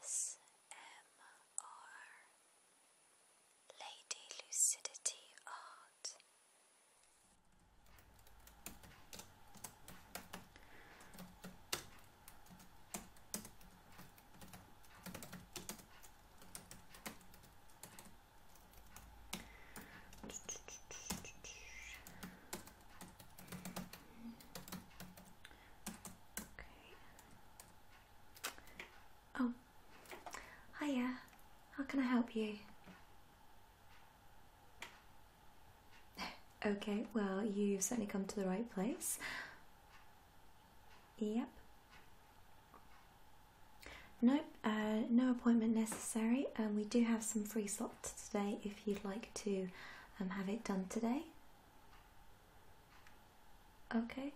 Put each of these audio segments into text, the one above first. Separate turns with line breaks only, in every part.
ASMR Lady Lucidity Art. Okay. Oh, hiya. How can I help you? Okay, well, you've certainly come to the right place. Yep. Nope, uh, no appointment necessary. Um, we do have some free slots today if you'd like to um, have it done today. Okay.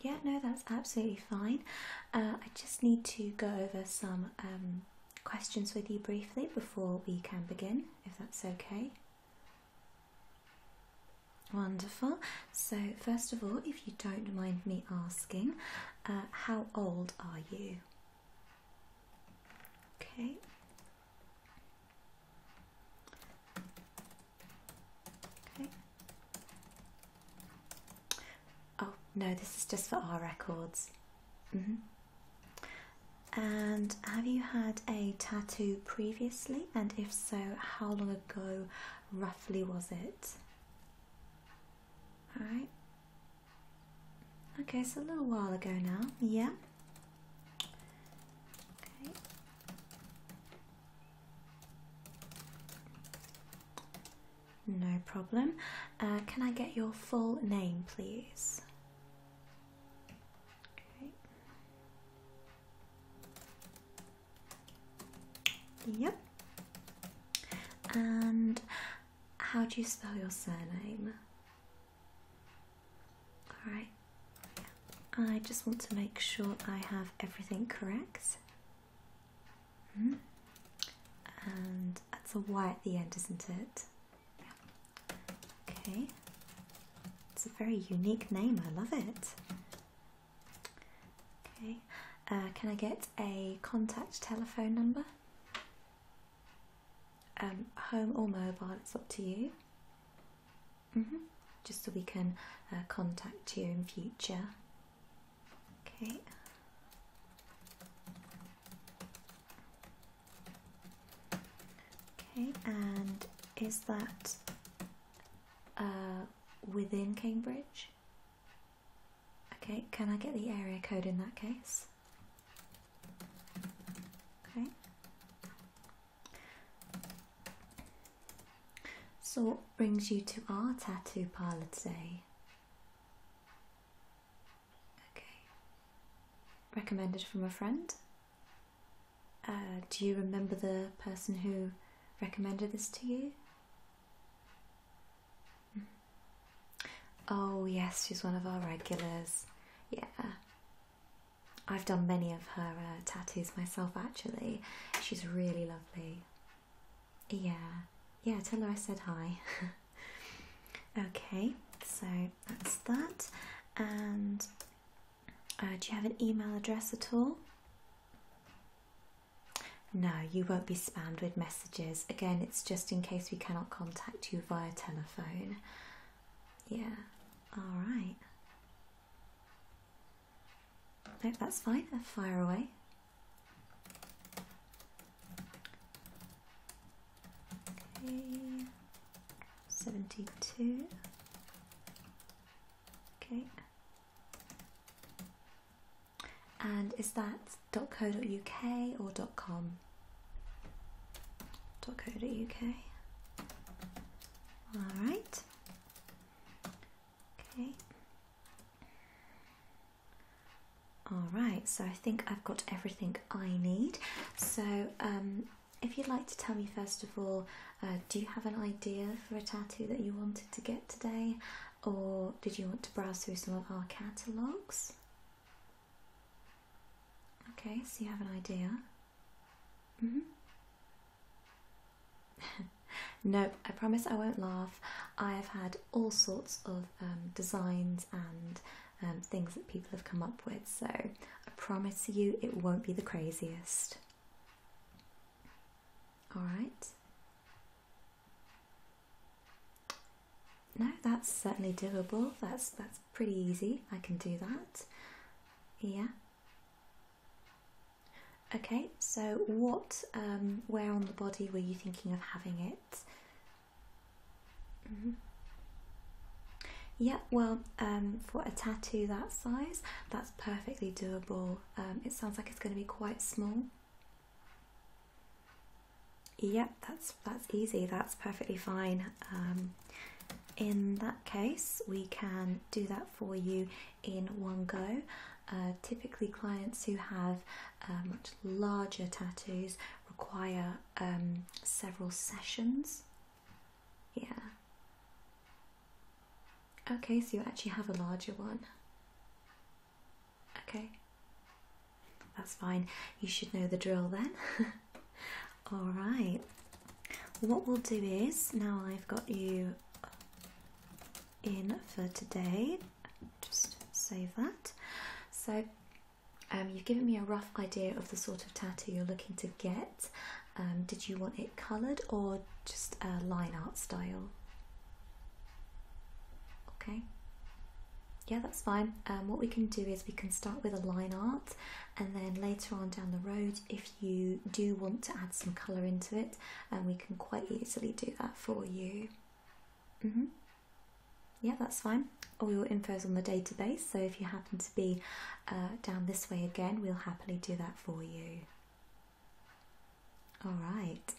Yeah, no, that's absolutely fine. Uh, I just need to go over some um, questions with you briefly before we can begin, if that's okay. Wonderful. So, first of all, if you don't mind me asking, uh, how old are you? Okay, Okay. Oh, no, this is just for our records. Mm-hmm. And have you had a tattoo previously? And if so, how long ago roughly was it? Alright. Okay, so a little while ago now, yeah. Okay. No problem. Uh, can I get your full name, please? Okay. Yep. And how do you spell your surname? Alright, I just want to make sure I have everything correct. Hmm? And that's a Y at the end, isn't it? Okay, it's a very unique name, I love it. Okay, uh, can I get a contact telephone number? Um, home or mobile, it's up to you. Mm-hmm. Just so we can uh, contact you in future. Okay. Okay, and is that uh, within Cambridge? Okay, can I get the area code in that case? okay so what brings you to our tattoo parlor today okay recommended from a friend uh, do you remember the person who recommended this to you mm-hmm. Oh, yes, she's one of our regulars. Yeah. I've done many of her uh, tattoos myself, actually. She's really lovely. Yeah. Yeah, tell her I said hi. okay, so that's that. And uh, do you have an email address at all? No, you won't be spammed with messages. Again, it's just in case we cannot contact you via telephone. Yeah, alright. No, that's fine, fire away. Okay, 72. Okay. And is that .co.uk or .com. .co.uk. All right. Okay. All right. So I think I've got everything I need. So um, if you'd like to tell me first of all, uh, do you have an idea for a tattoo that you wanted to get today, or did you want to browse through some of our catalogues? Okay, so you have an idea. Mm hmm no, I promise I won't laugh. I have had all sorts of um, designs and um, things that people have come up with, so I promise you it won't be the craziest. Alright? No, that's certainly doable. That's that's pretty easy. I can do that. Yeah. Okay, so what, um, where on the body were you thinking of having it? Mm-hmm. Yeah, well, um, for a tattoo that size, that's perfectly doable. Um, it sounds like it's going to be quite small. Yep, that's that's easy. That's perfectly fine. Um, in that case, we can do that for you in one go. Uh, typically, clients who have uh, much larger tattoos require um, several sessions. Yeah. Okay, so you actually have a larger one. Okay, that's fine. You should know the drill then. All right, what we'll do is now I've got you in for today, just save that. So, um, you've given me a rough idea of the sort of tattoo you're looking to get. Um, did you want it coloured or just a line art style? Okay. Yeah, that's fine. Um, what we can do is we can start with a line art, and then later on down the road, if you do want to add some colour into it, and um, we can quite easily do that for you. Mm -hmm. Yeah, that's fine. All your info is on the database, so if you happen to be uh, down this way again, we'll happily do that for you. All right,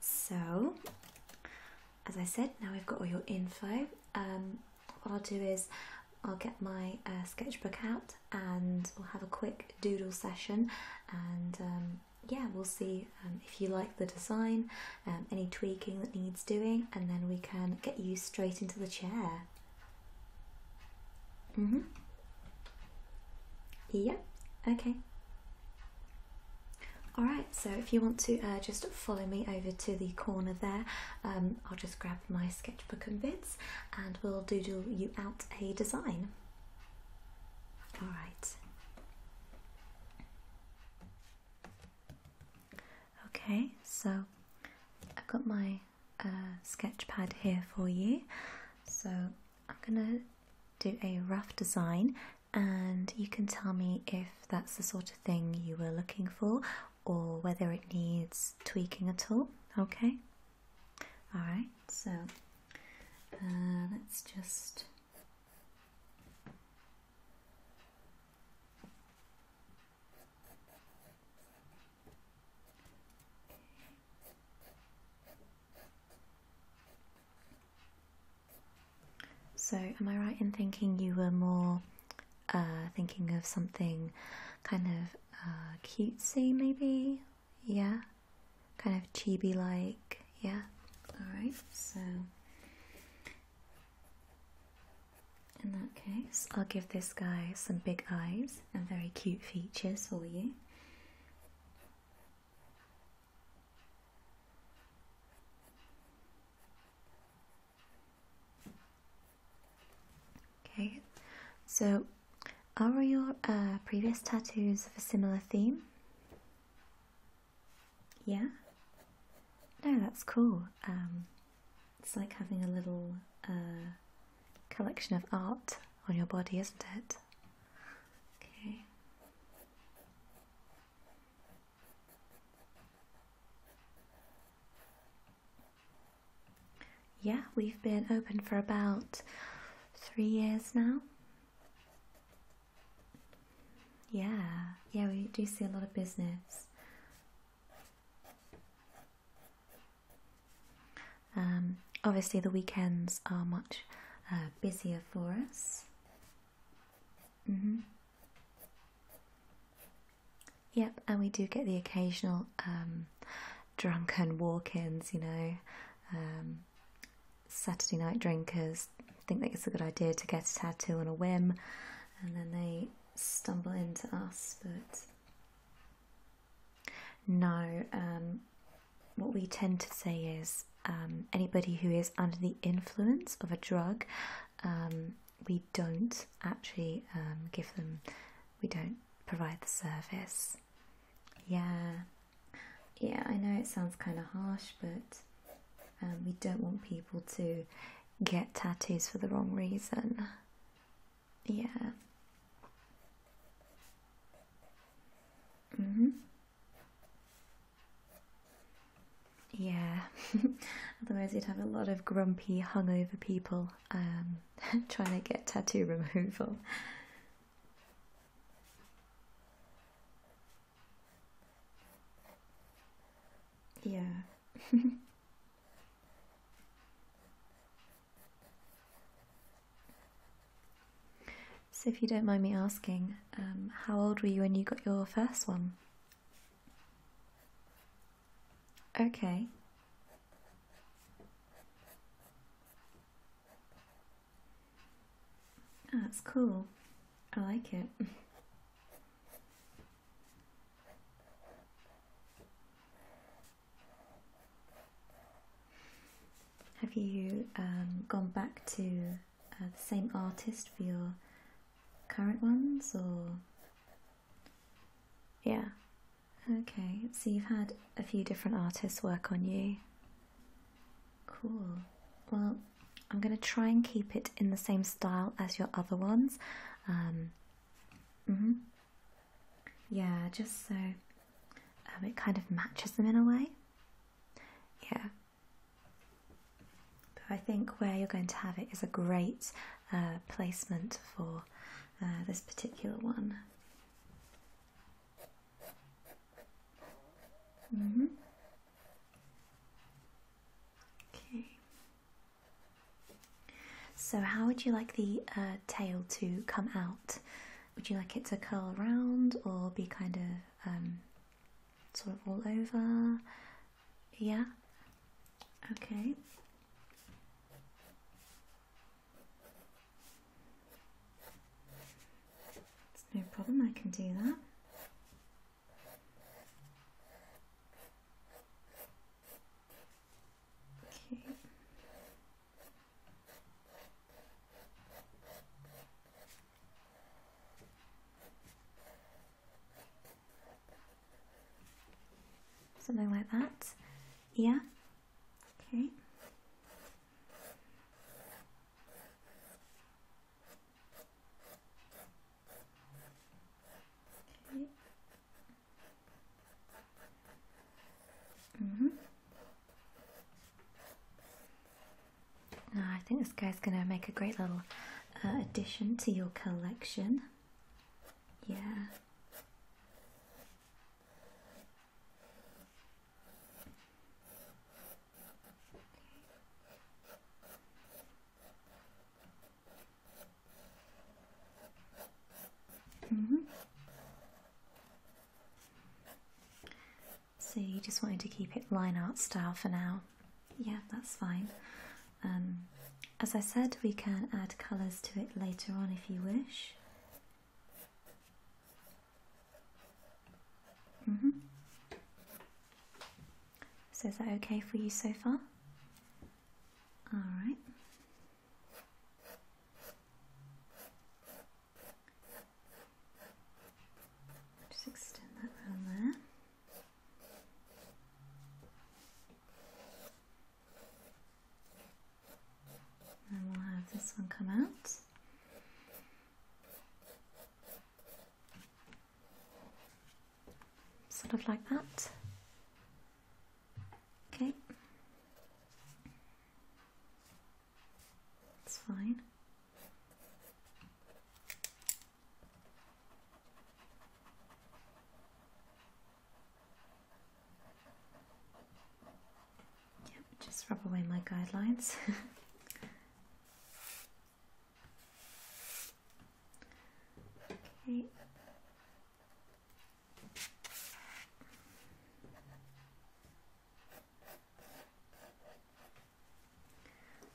so as I said, now we've got all your info. Um, what I'll do is I'll get my uh, sketchbook out and we'll have a quick doodle session and um, yeah, we'll see um, if you like the design, any tweaking that needs doing, and then we can get you straight into the chair. Mm hmm. Yeah, okay. Alright, so if you want to uh, just follow me over to the corner there, um, I'll just grab my sketchbook and bits and we'll doodle you out a design. Alright. Okay, so I've got my uh, sketch pad here for you. So I'm going to do a rough design and you can tell me if that's the sort of thing you were looking for or whether it needs tweaking at all. Okay, all right, so uh, let's just. So, am I right in thinking you were more uh, thinking of something kind of uh, cutesy, maybe? Yeah? Kind of chibi like? Yeah? Alright, so in that case, I'll give this guy some big eyes and very cute features for you. Okay, so are your uh, previous tattoos of a similar theme? Yeah? No, that's cool. Um, it's like having a little uh, collection of art on your body, isn't it? Okay. Yeah, we've been open for about three years now. Yeah, yeah, we do see a lot of business. Um, obviously, the weekends are much uh, busier for us. Mm -hmm. Yep, and we do get the occasional um, drunken walk ins, you know. Um, Saturday night drinkers think that it's a good idea to get a tattoo on a whim, and then they stumble into us. But no, um, what we tend to say is um, anybody who is under the influence of a drug. Um, we don't actually um, give them, we don't provide the service. Yeah, yeah, I know it sounds kind of harsh, but we don't want people to get tattoos for the wrong reason. Yeah. Mm hmm yeah, otherwise you'd have a lot of grumpy, hungover people um, trying to get tattoo removal. Yeah. So, if you don't mind me asking, um, how old were you when you got your first one? Okay. Ah, that's cool. I like it. Have you um, gone back to uh, the same artist for your current ones or yeah okay so you've had a few different artists work on you cool well i'm going to try and keep it in the same style as your other ones um mm yeah just so um, it kind of matches them in a way yeah but I think where you're going to have it is a great uh, placement for uh, this particular one. Mm-hmm. Okay. So, how would you like the uh, tail to come out? Would you like it to curl around or be kind of um, sort of all over. Yeah. Okay. no problem, I can do that. Okay. Something like that. Yeah. Okay. Okay. Mm -hmm. I think this guy's going to make a great little uh, addition to your collection. Yeah. Mm -hmm. So you just wanted to keep it line art style for now. Yeah, that's fine. Um, as I said, we can add colours to it later on if you wish. Mm-hmm. So is that okay for you so far? Alright. Just extend that round there. And we'll have this one come out. Sort of like that. Okay. It's fine. Yep, just rub away my guidelines. okay.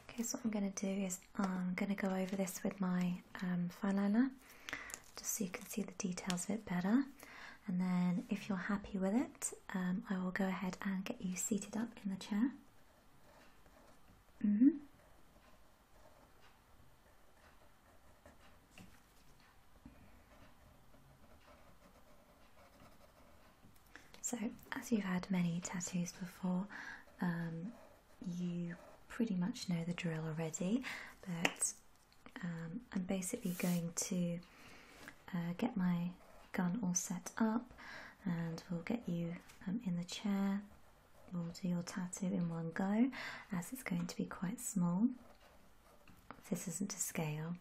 Okay, so what I'm going to do is I'm um, going to go over this with my um, fine liner, just so you can see the details a bit better. And then if you're happy with it, um, I will go ahead and get you seated up in the chair. -hmm. So, as you've had many tattoos before, um, you pretty much know the drill already, but um, I'm basically going to uh, get my gun all set up and we'll get you um, in the chair. We'll do your tattoo in one go as it's going to be quite small. This isn't to scale.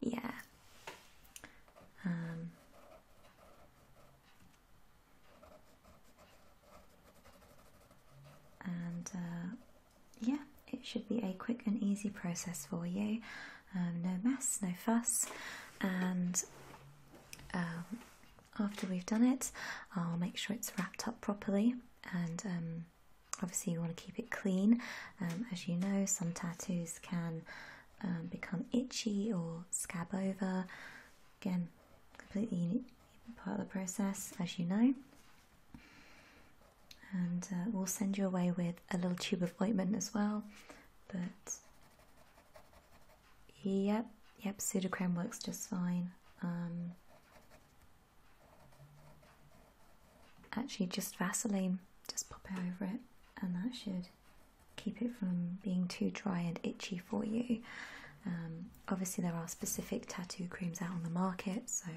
Yeah, um, and uh, yeah, it should be a quick and easy process for you. Um, no mess, no fuss, and um, after we've done it, I'll make sure it's wrapped up properly. And obviously, you want to keep it clean. as you know, some tattoos can um, become itchy or scab over. Again, completely part of the process, as you know. And uh, we'll send you away with a little tube of ointment as well. But yep, yep, pseudocreme works just fine. Um, actually just Vaseline, just pop it over it, and that should keep it from being too dry and itchy for you. Um, obviously, there are specific tattoo creams out on the market, so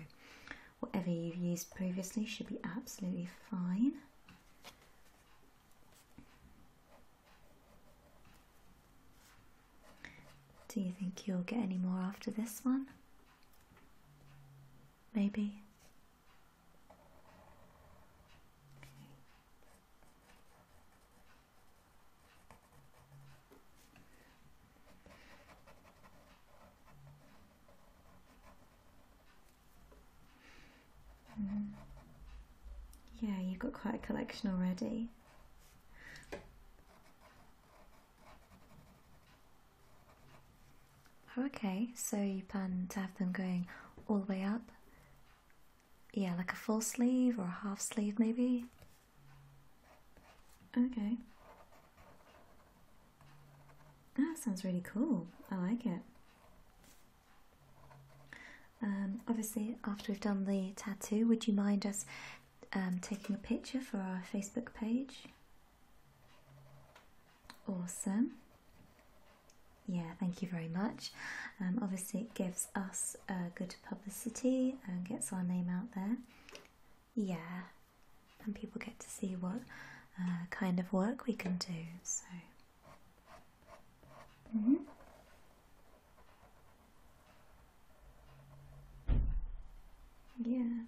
whatever you've used previously should be absolutely fine. Do you think you'll get any more after this one? Maybe? Mm. Yeah, you've got quite a collection already. Okay, so you plan to have them going all the way up? Yeah, like a full sleeve or a half sleeve maybe? Okay. That sounds really cool. I like it. Um, obviously, after we've done the tattoo, would you mind us um, taking a picture for our Facebook page? Awesome. Yeah, thank you very much. Um, obviously, it gives us good publicity and gets our name out there. Yeah, and people get to see what uh, kind of work we can do. So, mm-hmm. yeah,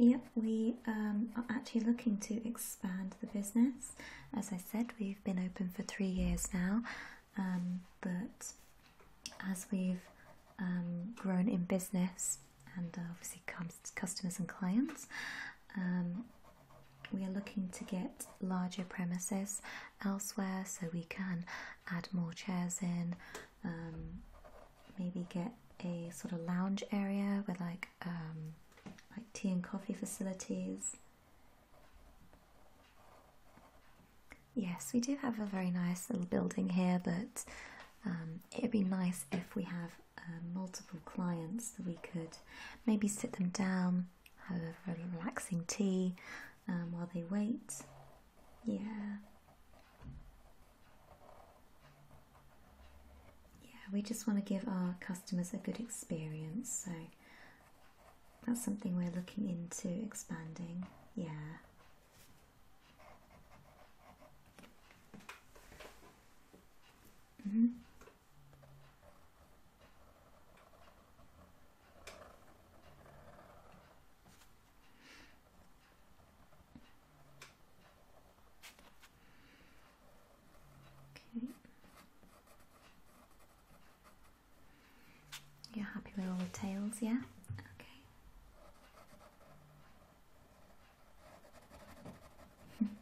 Yep, we um, are actually looking to expand the business. As I said, we've been open for three years now, um, but as we've um, grown in business and uh, obviously comes customers and clients, we are looking to get larger premises elsewhere so we can add more chairs in, um, maybe get a sort of lounge area with like um, like tea and coffee facilities. Yes, we do have a very nice little building here, but um, it would be nice if we have multiple clients that we could maybe sit them down, have a relaxing tea while they wait. Yeah. Yeah, we just want to give our customers a good experience, so that's something we're looking into expanding. Yeah. Mm -hmm. You're happy with all the tails, yeah? Okay.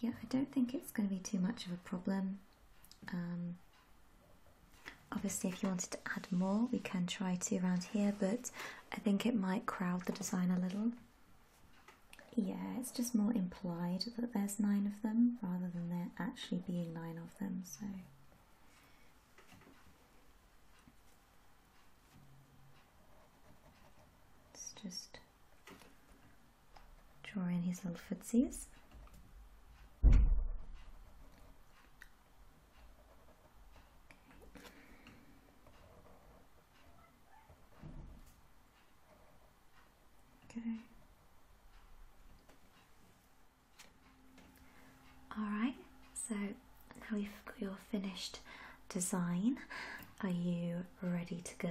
yeah, I don't think it's going to be too much of a problem. Um, obviously, if you wanted to add more, we can try to around here, but I think it might crowd the design a little. Yeah, it's just more implied that there's nine of them rather than there actually being nine of them, so. It's just Draw in his little footsies. Okay. Alright, so now we have got your finished design. Are you ready to go?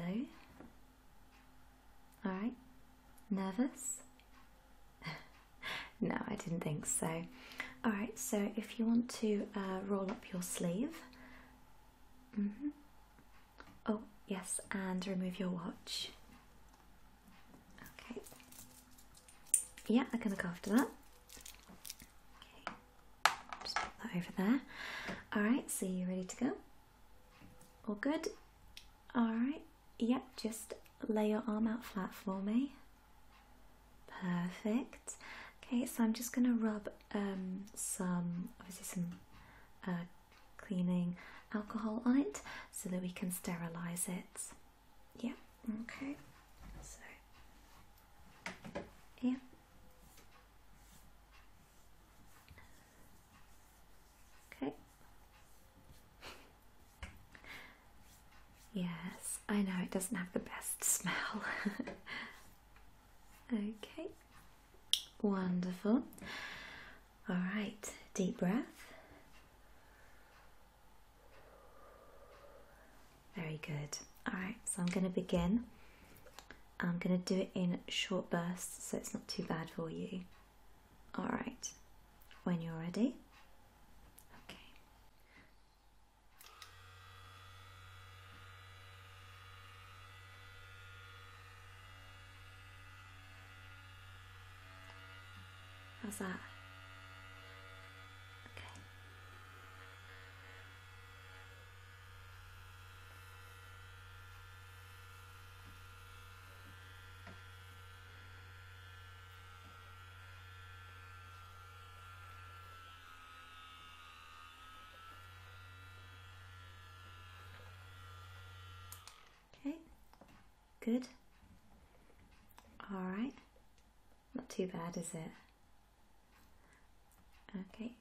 All right, nervous? no, I didn't think so. All right, so if you want to uh, roll up your sleeve, mm-hmm. oh, yes, and remove your watch. Okay, yeah, I can look after that. Okay, just put that over there. All right, so you are ready to go? All good? Alright, yep, just lay your arm out flat for me. Perfect. Okay, so I'm just going to rub um, some, obviously, some uh, cleaning alcohol on it so that we can sterilize it. Yeah, okay. So, yeah, Okay. Yes, I know it doesn't have the best smell. okay. Wonderful. All right, deep breath. Very good. All right, so I'm going to begin I'm going to do it in short bursts so it's not too bad for you. Alright, when you're ready. Okay. How's that? Okay. Okay, good. All right, not too bad, is it? Okay,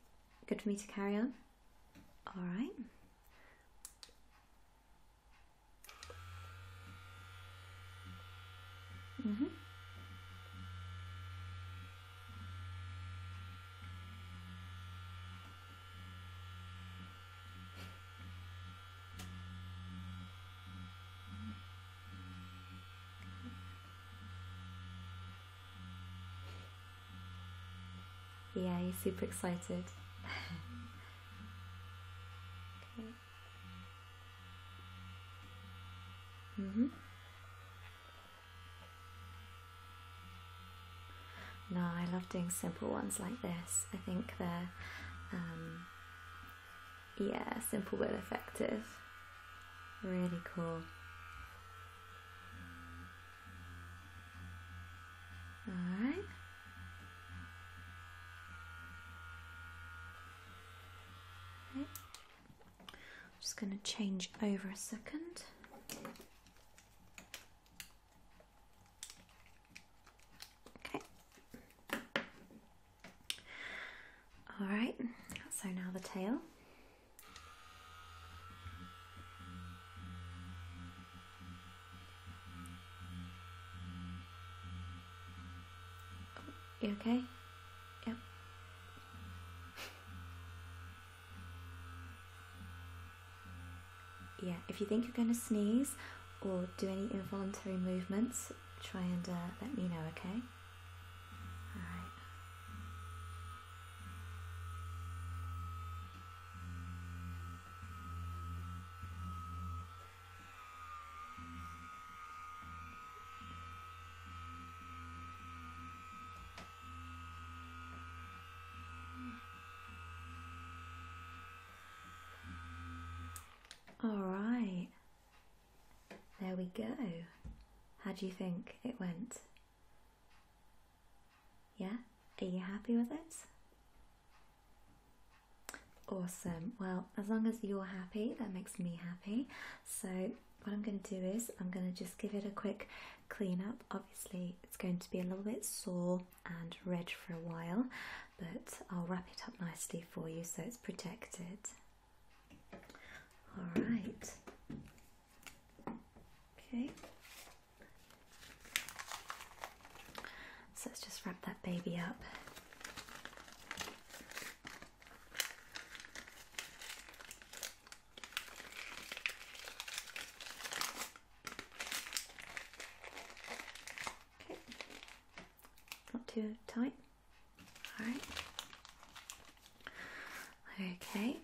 good for me to carry on? All right. Mm-hmm. Yeah, he's super excited. okay. Mm-hmm. No, I love doing simple ones like this. I think they're, um, yeah, simple but effective. Really cool. Alright. Okay. I'm just going to change over a second. Okay. Alright, so now the tail. You okay? Yep. yeah, if you think you're going to sneeze or do any involuntary movements, try and uh, let me know, okay? All right. All right. There we go. How do you think it went? Yeah? Are you happy with it? Awesome. Well, as long as you're happy, that makes me happy. So, what I'm going to do is I'm going to just give it a quick clean up. Obviously, it's going to be a little bit sore and red for a while, but I'll wrap it up nicely for you so it's protected. All right. Okay. So let's just wrap that baby up. Okay. Not too tight. All right. Okay.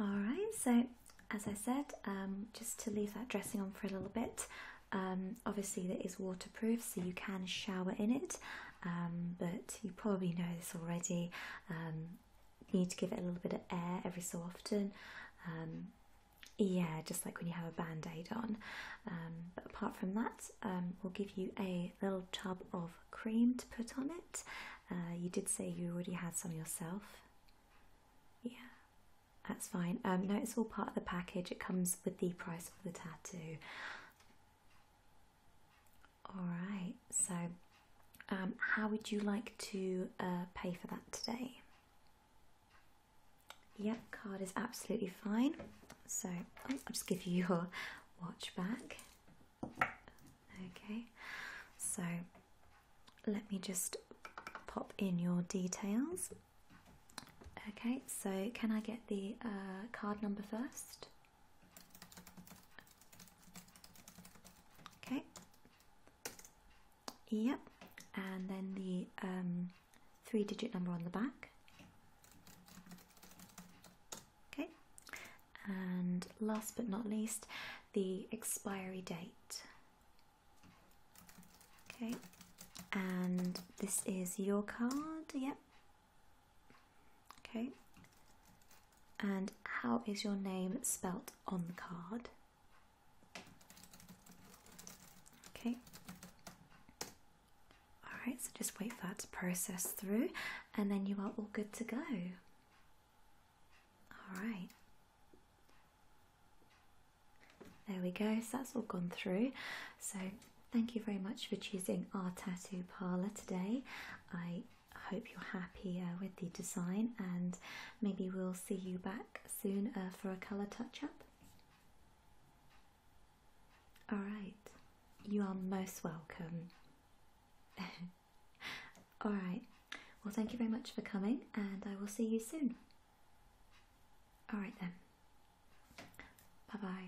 All right. So, as I said, um, just to leave that dressing on for a little bit. Um, obviously, that is waterproof, so you can shower in it. Um, but you probably know this already. you need to give it a little bit of air every so often. yeah, just like when you have a band aid on. but apart from that, we'll give you a little tub of cream to put on it. Uh, you did say you already had some yourself. Yeah, that's fine. Um, no, it's all part of the package. It comes with the price of the tattoo. All right. So, um, how would you like to uh, pay for that today? Yep, card is absolutely fine. So, oh, I'll just give you your watch back. Okay, so let me just pop in your details. Okay, so can I get the uh, card number first? Okay. Yep, and then the um, three digit number on the back. Okay, and last but not least, the expiry date. Okay, and this is your card, yep. Okay, and how is your name spelt on the card? Okay, Alright, so just wait for that to process through and then you are all good to go. Alright. There we go, so that's all gone through. So thank you very much for choosing our tattoo parlour today. I hope you're happy uh, with the design and maybe we'll see you back soon uh, for a colour touch up. All right, you are most welcome. All right, well, thank you very much for coming, and I will see you soon. All right, then. Bye bye.